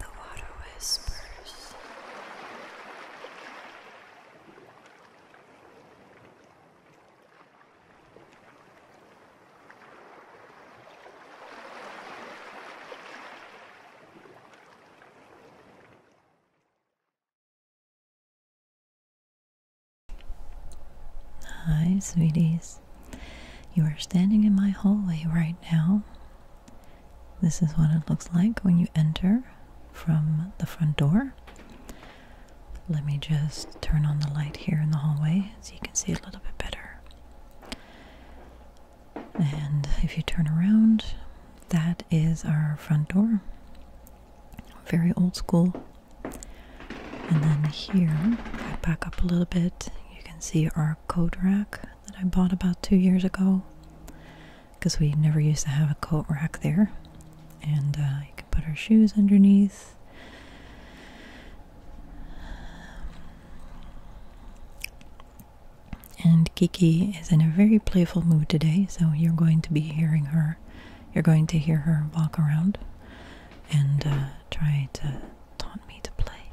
The water whispers. Hi, sweeties. You are standing in my hallway right now. This is what it looks like when you enter from the front door. Let me just turn on the light here in the hallway so you can see a little bit better. And if you turn around, that is our front door. Very old school. And then here, back up a little bit, you can see our our coat rack that I bought about two years ago because we never used to have a coat rack there. And uh, you can put our shoes underneath. And Kiki is in a very playful mood today, so you're going to be hearing her. You're going to hear her walk around and uh, try to taught me to play.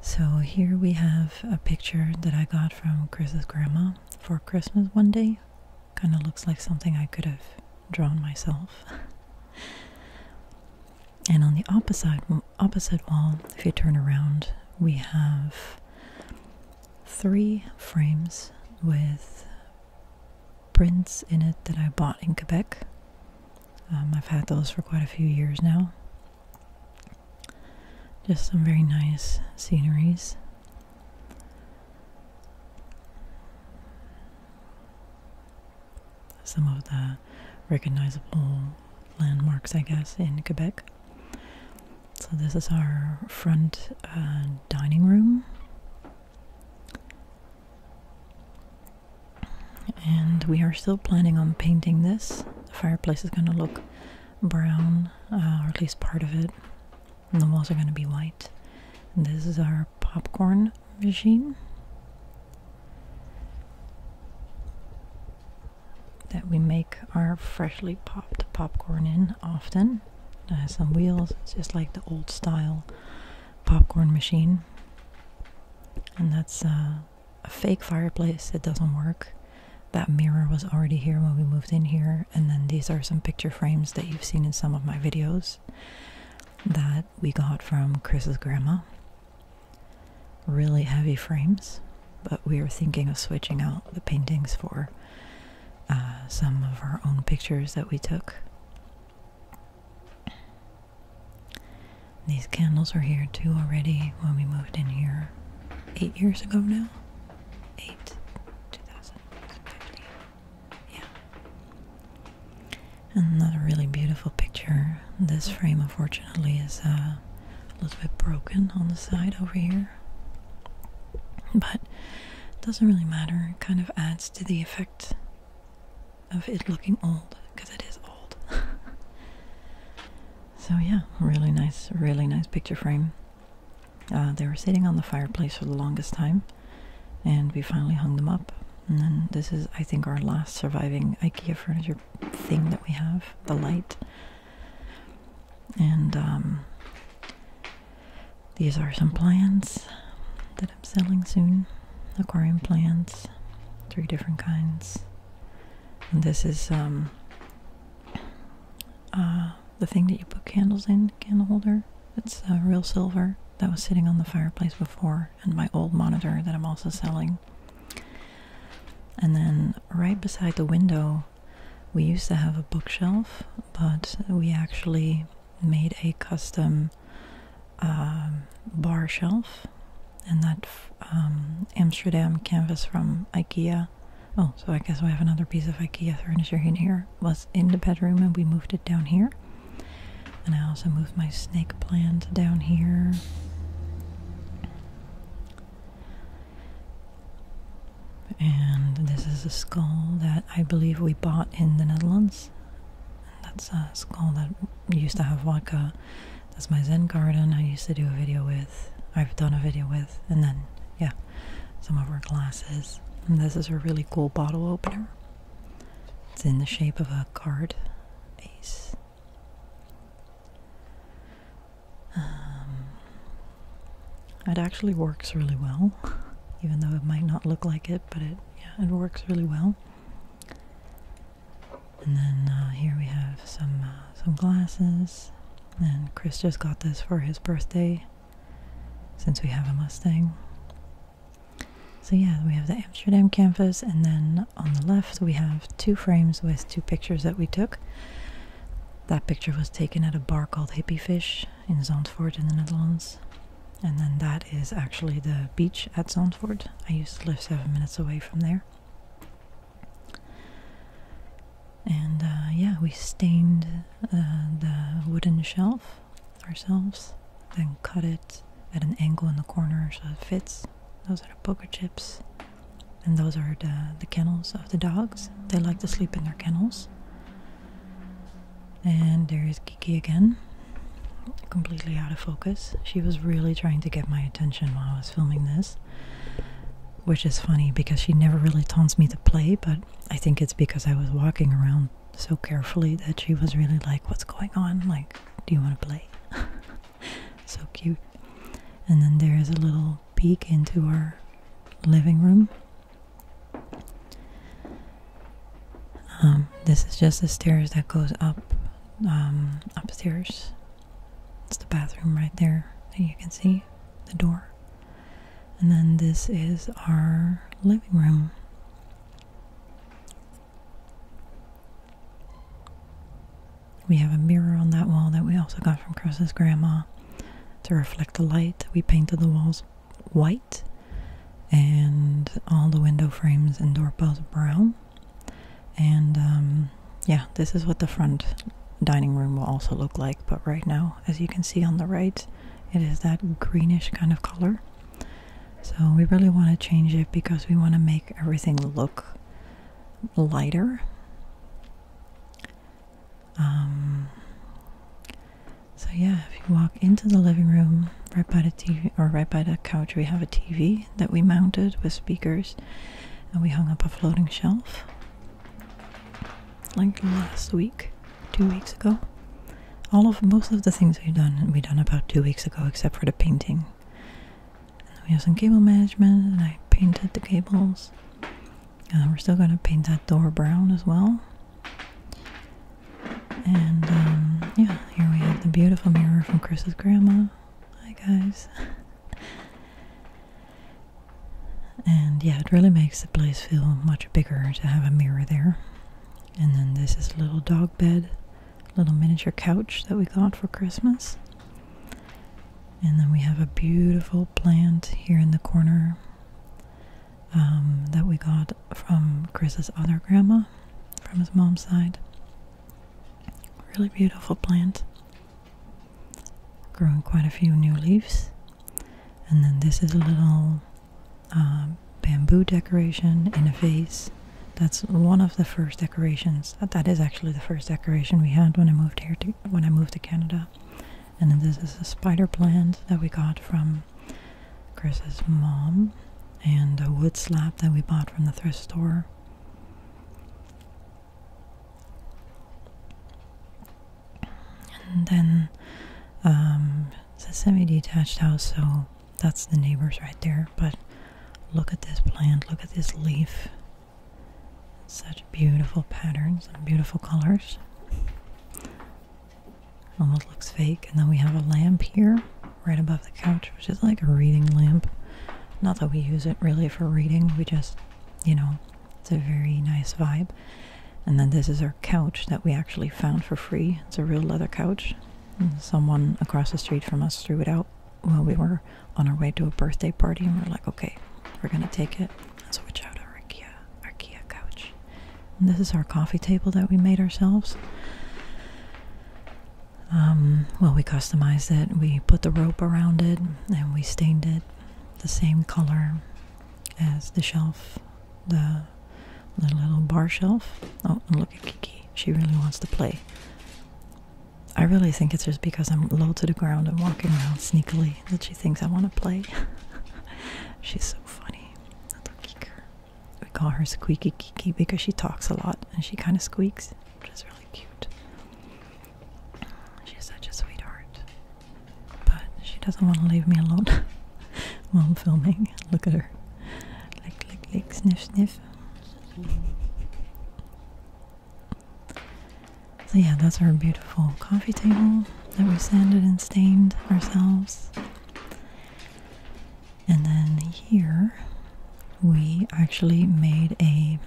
So here we have a picture that I got from Chris's grandma for Christmas one day. Kind of looks like something I could have drawn myself. and on the opposite opposite wall, if you turn around, we have three frames with prints in it that I bought in Quebec um, I've had those for quite a few years now. Just some very nice sceneries. Some of the recognizable landmarks, I guess, in Quebec. So, this is our front uh, dining room and we are still planning on painting this. The fireplace is going to look brown, uh, or at least part of it, the walls are going to be white. this is our popcorn machine that we make our freshly popped popcorn in often. It has some wheels, it's just like the old style popcorn machine. And that's uh, a fake fireplace. It doesn't work. That mirror was already here when we moved in here. And then these are some picture frames that you've seen in some of my videos that we got from Chris's grandma. Really heavy frames, but we are thinking of switching out the paintings for uh, some of our own pictures that we took. These candles are here too already when we moved in here eight years ago now. Eight, 2015. Yeah. Another really beautiful picture. This frame, unfortunately, is uh, a little bit broken on the side over here. But it doesn't really matter. It kind of adds to the effect of it looking old because it is old. so yeah, really nice, really nice picture frame. Uh, they were sitting on the fireplace for the longest time, and we finally hung them up. And then this is, I think, our last surviving IKEA furniture thing that we have the light. And um, these are some plants that I'm selling soon aquarium plants, three different kinds. And this is um, uh, the thing that you put candles in, candle holder. It's uh, real silver that was sitting on the fireplace before, and my old monitor that I'm also selling. And then right beside the window, we used to have a bookshelf, but we actually made a custom uh, bar shelf and that um, Amsterdam canvas from IKEA. Oh, so I guess we have another piece of IKEA furniture in here. Was in the bedroom and we moved it down here. And I also moved my snake plant down here. And this is a skull that I believe we bought in the Netherlands. That's a skull that used to have vodka that's my Zen garden I used to do a video with. I've done a video with, and then yeah, some of her glasses. And this is a really cool bottle opener. It's in the shape of a card ace. Um, it actually works really well, even though it might not look like it, but it yeah, it works really well. And then uh, here we have some uh, some glasses. And Chris just got this for his birthday, since we have a Mustang. So yeah, we have the Amsterdam campus, and then on the left we have two frames with two pictures that we took. That picture was taken at a bar called Hippie Fish in Zandvoort in the Netherlands. And then that is actually the beach at Zandvoort. I used to live seven minutes away from there. And uh, yeah, we stained uh, the wooden shelf ourselves, then cut it at an angle in the corner so it fits. Those are the poker chips, and those are the, the kennels of the dogs. They like to sleep in their kennels. And there is Kiki again, completely out of focus. She was really trying to get my attention while I was filming this, which is funny because she never really taunts me to play, but I think it's because I was walking around so carefully that she was really like, What's going on? Like, do you want to play? so cute. And then there is a little peek into our living room. Um, this is just the stairs that goes up um, upstairs it's the bathroom right there that you can see, the door. And then this is our living room. We have a mirror on that wall that we also got from Chris's grandma to reflect the light. We painted the walls white and all the window frames and door bells brown. And um, yeah, this is what the front dining room will also look like. But right now, as you can see on the right, it is that greenish kind of color. So we really want to change it because we want to make everything look lighter. Um, so yeah, if you walk into the living room, right by the TV or right by the couch, we have a TV that we mounted with speakers and we hung up a floating shelf like last week, two weeks ago. All of most of the things we've done we done about two weeks ago except for the painting. we have some cable management and I painted the cables. Uh, we're still gonna paint that door brown as well. And um, yeah, here we have the beautiful mirror from Chris's grandma. Hi guys. and yeah, it really makes the place feel much bigger to have a mirror there. And then this is a little dog bed, little miniature couch that we got for Christmas. And then we have a beautiful plant here in the corner um, that we got from Chris's other grandma, from his mom's side. Really beautiful plant growing quite a few new leaves. And then this is a little um, bamboo decoration in a vase. That's one of the first decorations. that is actually the first decoration we had when I moved here when I moved to Canada. And then this is a spider plant that we got from Chris's mom, and a wood slab that we bought from the thrift store. And then it's um, a semi-detached house, so that's the neighbors right there. But look at this plant, look at this leaf. Such beautiful patterns and beautiful colors. Almost looks fake. And then we have a lamp here, right above the couch, which is like a reading lamp. Not that we use it really for reading, we just you know, it's a very nice vibe. And then this is our couch that we actually found for free. It's a real leather couch. someone across the street from us threw it out while we were on our way to a birthday party, and we're like, okay, we're gonna take it. So we out our IKEA, IKEA couch. this is our coffee table that we made ourselves. Um, well, we customized it. We put the rope around it and we stained it the same color as the shelf, the, little bar shelf. Oh, look at Kiki. She really wants to play. I really think it's just because I'm low to the ground and walking around sneakily that she thinks I want to play. She's so funny. Little Kiker. We call her Squeaky Kiki because she talks a lot and she kind of squeaks, which is really cute. She's such a sweetheart. But she doesn't want to leave me alone while I'm filming. Look at her. Lick, lick, lick, sniff, sniff. So, yeah, that's our beautiful coffee table that we sanded and stained ourselves. And then here we actually made a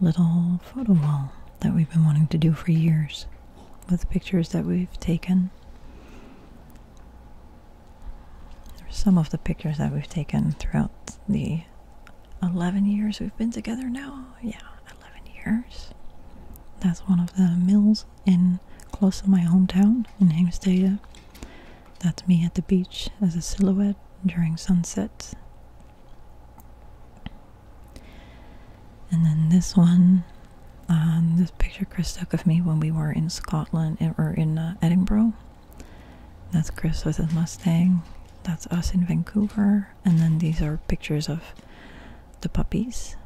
little photo wall that we've been wanting to do for years with pictures that we've taken. some of the pictures that we've taken throughout the 11 years we've been together now. Yeah, 11 years. That's one of the mills in close to my hometown in Heemstede. That's me at the beach as a silhouette during sunset and then this one, um, this picture Chris took of me when we were in Scotland eh, or in uh, Edinburgh. That's Chris with his Mustang. That's us in Vancouver. And then these are pictures of the puppies.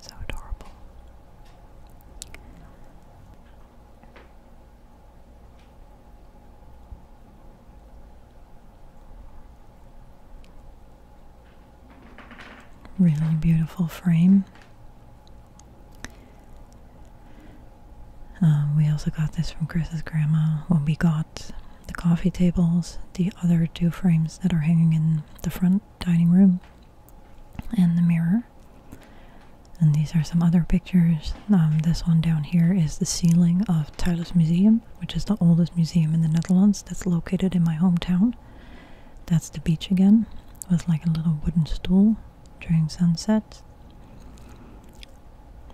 So adorable. Really beautiful frame. Uh, we also got this from Chris's grandma when we got the coffee tables, the other two frames that are hanging in the front dining room, and the mirror. And these are some other pictures. Um, this one down here is the ceiling of Tyler's Museum, which is the oldest museum in the Netherlands that's located in my hometown. That's the beach again, with like a little wooden stool during sunset.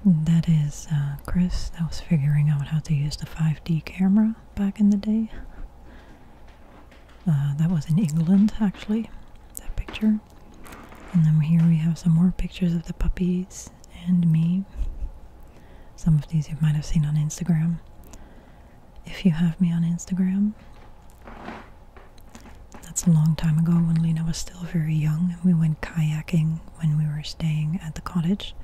that is uh, Chris that was figuring out how to use the 5D camera back in the day. Uh, that was in England actually, that picture. And then here we have some more pictures of the puppies and me. Some of these you might have seen on Instagram. If you have me on Instagram, that's a long time ago when Lena was still very young and we went kayaking when we were staying at the cottage.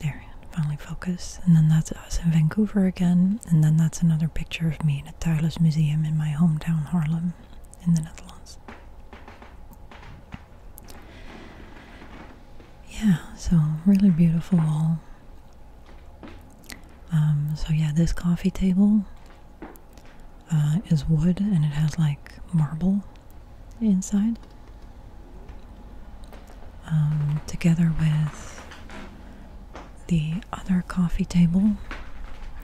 There, finally focus. And then that's us in Vancouver again. And then that's another picture of me in a Tylus Museum in my hometown, Harlem in the Netherlands. Yeah, so really beautiful wall. Um, so yeah, this coffee table uh, is wood and it has like marble inside. Um, together with the other coffee table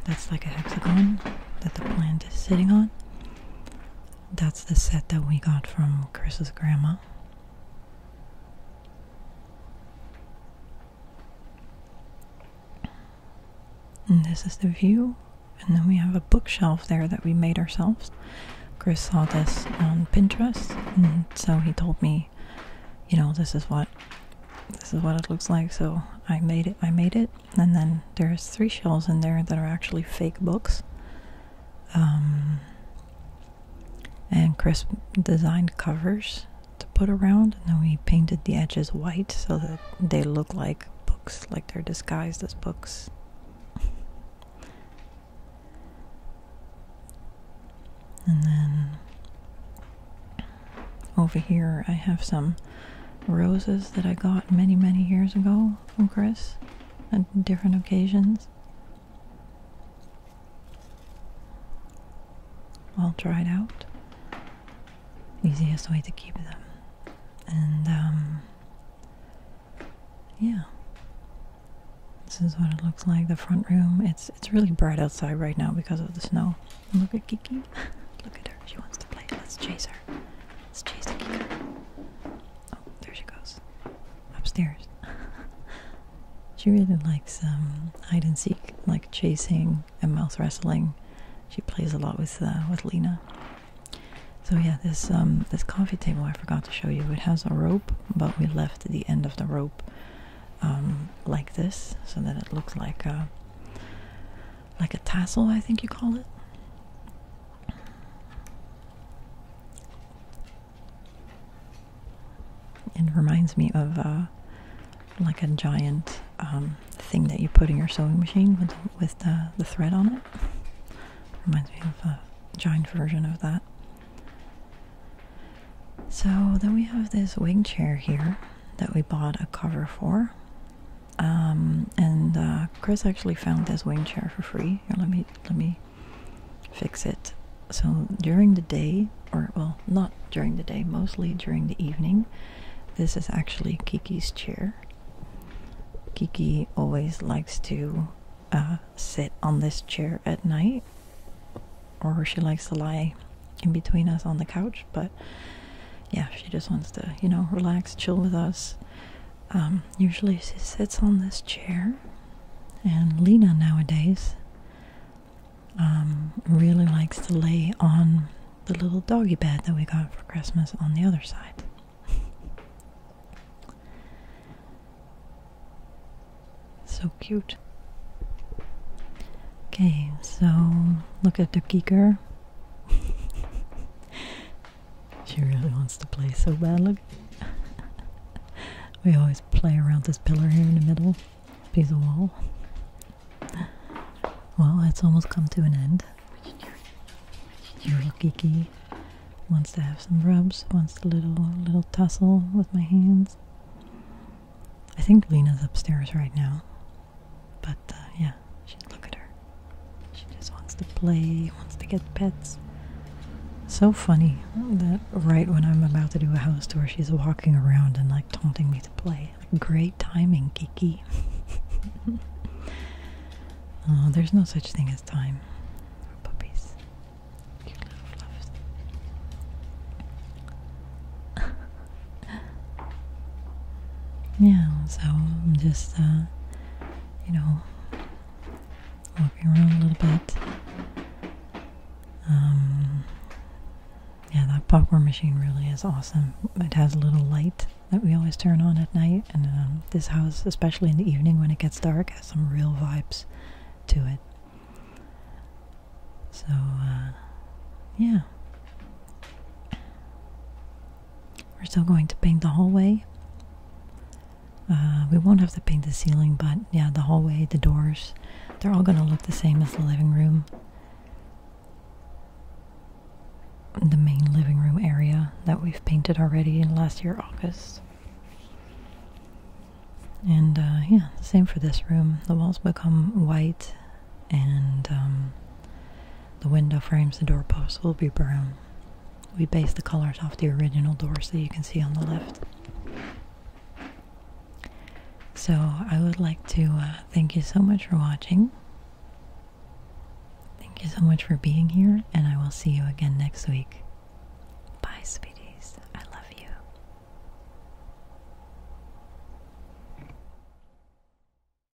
that's like a hexagon that the plant is sitting on. That's the set that we got from Chris's grandma. this is the view. And then we have a bookshelf there that we made ourselves. Chris saw this on Pinterest, and so he told me, you know, this is what this is what it looks like. So I made it. I made it and then there's three shelves in there that are actually fake books um, and crisp designed covers to put around and then we painted the edges white so that they look like books like they're disguised as books and then over here, I have some roses that I got many, many years ago from Chris on different occasions. All dried out. Easiest way to keep them. And, um, yeah. This is what it looks like, the front room. It's it's really bright outside right now because of the snow look at Kiki. look at her. She wants to play. Let's chase her. Let's chase the Kiki. Oh, there she goes. Upstairs. she really likes um, hide and seek, like chasing and mouth wrestling. She plays a lot with uh, with Lena. So yeah, this um, this coffee table I forgot to show you. It has a rope, but we left the end of the rope um, like this, so that it looks like a like a tassel, I think you call it. It reminds me of uh, like a giant um, thing that you put in your sewing machine with, the thread on it. Reminds me of a giant version of that. So then we have this wing chair here that we bought a cover for. Um, and uh, Chris actually found this wing chair for free. Here, let me let me fix it. So during the day, or well, not during the day, mostly during the evening. This is actually Kiki's chair. Kiki always likes to uh, sit on this chair at night, or she likes to lie in between us on the couch. But yeah, she just wants to, you know, relax, chill with us. Um, usually she sits on this chair, and Lena nowadays um, really likes to lay on the little doggy bed that we got for Christmas on the other side. so cute. Okay, so look at the geeker she really wants to play so bad. Look, we always play around this pillar here in the middle, piece of wall. Well, it's almost come to an end. You look Kiki wants to have some rubs, wants a little little tussle with my hands. I think Lena's upstairs right now. But uh, yeah, she, look at her. She just wants to play, wants to get pets. So funny that right when I'm about to do a house tour, she's walking around and like taunting me to play. great timing, geeky. there's no such thing as time. For puppies. yeah, so I'm just, uh, you know, walking around a little bit. Um, yeah, that popcorn machine really is awesome. It has a little light that we always turn on at night, and um, this house, especially in the evening when it gets dark, has some real vibes to it. So, uh, yeah. We're still going to paint the hallway. Uh, we won't have to paint the ceiling, but yeah, the hallway, the doors, they're all going to look the same as the living room. The main living room area that we've painted already in last year, August. And uh, yeah, same for this room. The walls become white and um, the window frames, the doorposts will be brown. We base the colors off the original doors that you can see on the left. So I would like to uh, thank you so much for watching. Thank you so much for being here, and I will see you again next week. Bye, Speedies. I love you.